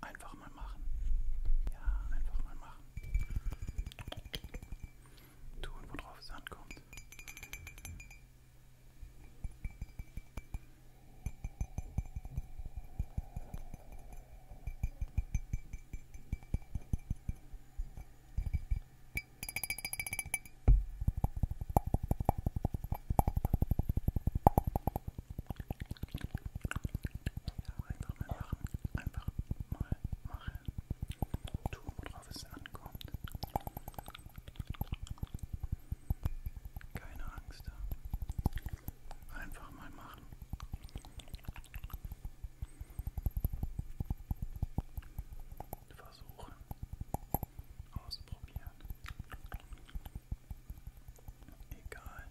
Einfach mal machen. Ja, einfach mal machen. Tun, worauf es ankommt einfach mal machen, einfach mal machen, tun, worauf es ankommt. Keine Angst da. Einfach mal machen. Versuchen ausprobieren. Egal,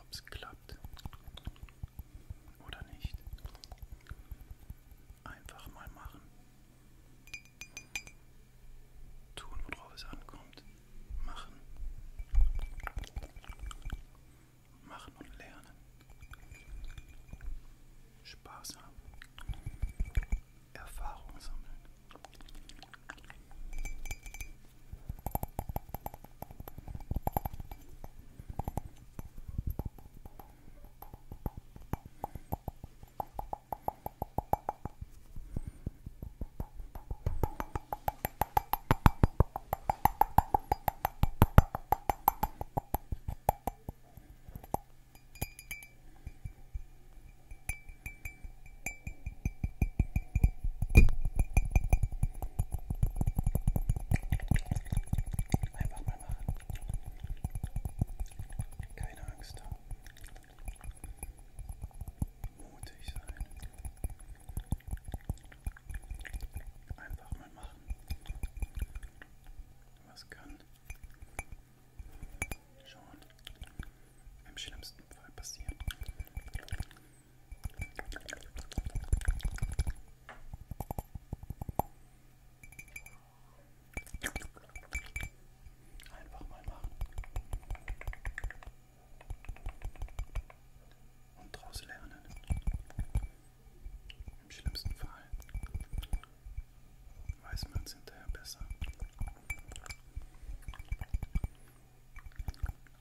ob es klappt oder nicht. Einfach mal machen. Tun, worauf es ankommt. Machen machen und lernen, Spaß haben, Erfahrung sammeln. Einfach mal machen. Keine Angst haben. Mutig sein. Einfach mal machen. Was kann schon im schlimmsten Fall passieren? Einfach mal machen und daraus lernen. Im schlimmsten Fall weiß man es hinterher besser.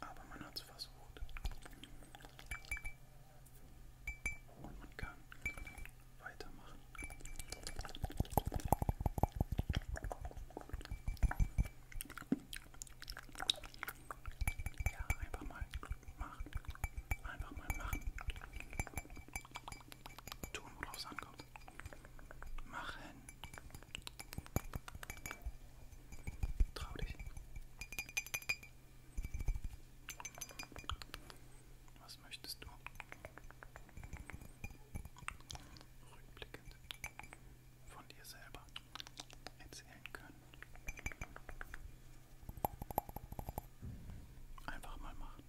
Aber man hat es versucht. Und man kann weitermachen. Ja, einfach mal machen. Einfach mal machen. Tun, worauf es ankommt. Machen. Trau dich. Was möchtest du? Rückblickend von dir selber erzählen können. Einfach mal machen.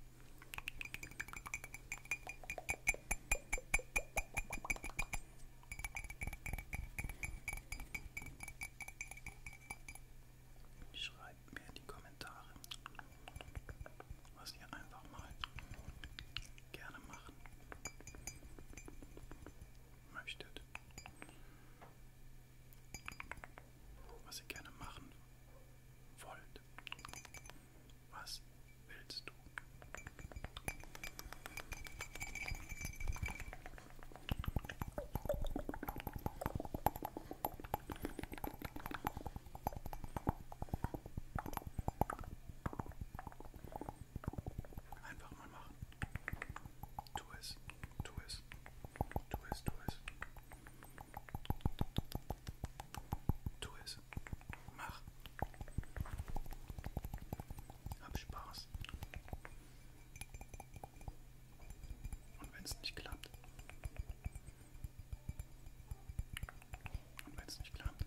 Schreibt mir in die Kommentare, was ihr einfach mal gerne machen möchtet. Was ihr gerne machen wollt. Was willst du? Einfach mal machen. Tu es, tu es, tu es, tu es. Tu es, mach. Hab Spaß. Und wenn es nicht klappt, und wenn es nicht klappt,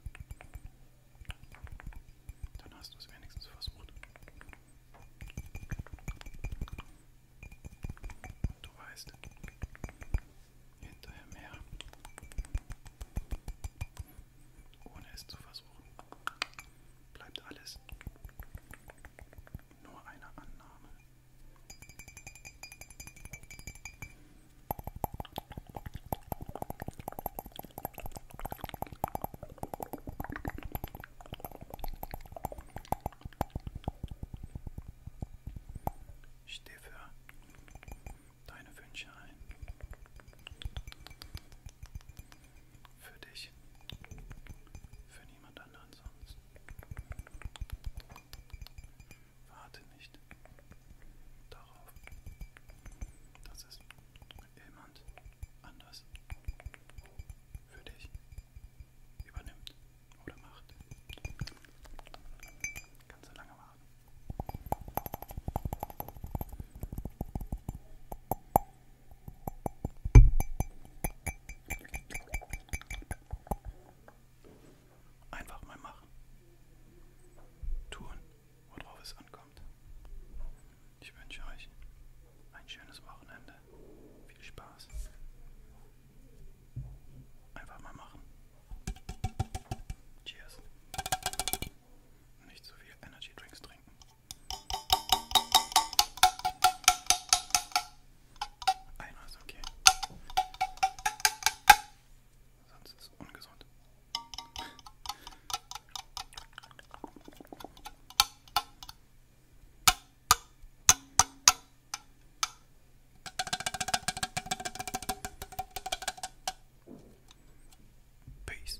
dann hast du es wenigstens versucht. Und du weißt, hinterher mehr, ohne es zu versuchen, bleibt alles nur eine Annahme. Ich stehe für deine Wünsche ein. Für dich. Für niemand anderen sonst. Warte nicht darauf, dass es jemand anders für dich übernimmt oder macht. Kannst du lange warten. Einfach mal machen. Tun, worauf es ankommt. Ich wünsche euch ein schönes Wochenende. Viel Spaß. Einfach mal machen. Cheers. Nicht zu so viel Energy Drinks trinken. Einer ist okay. Sonst ist es ungesund. Peace.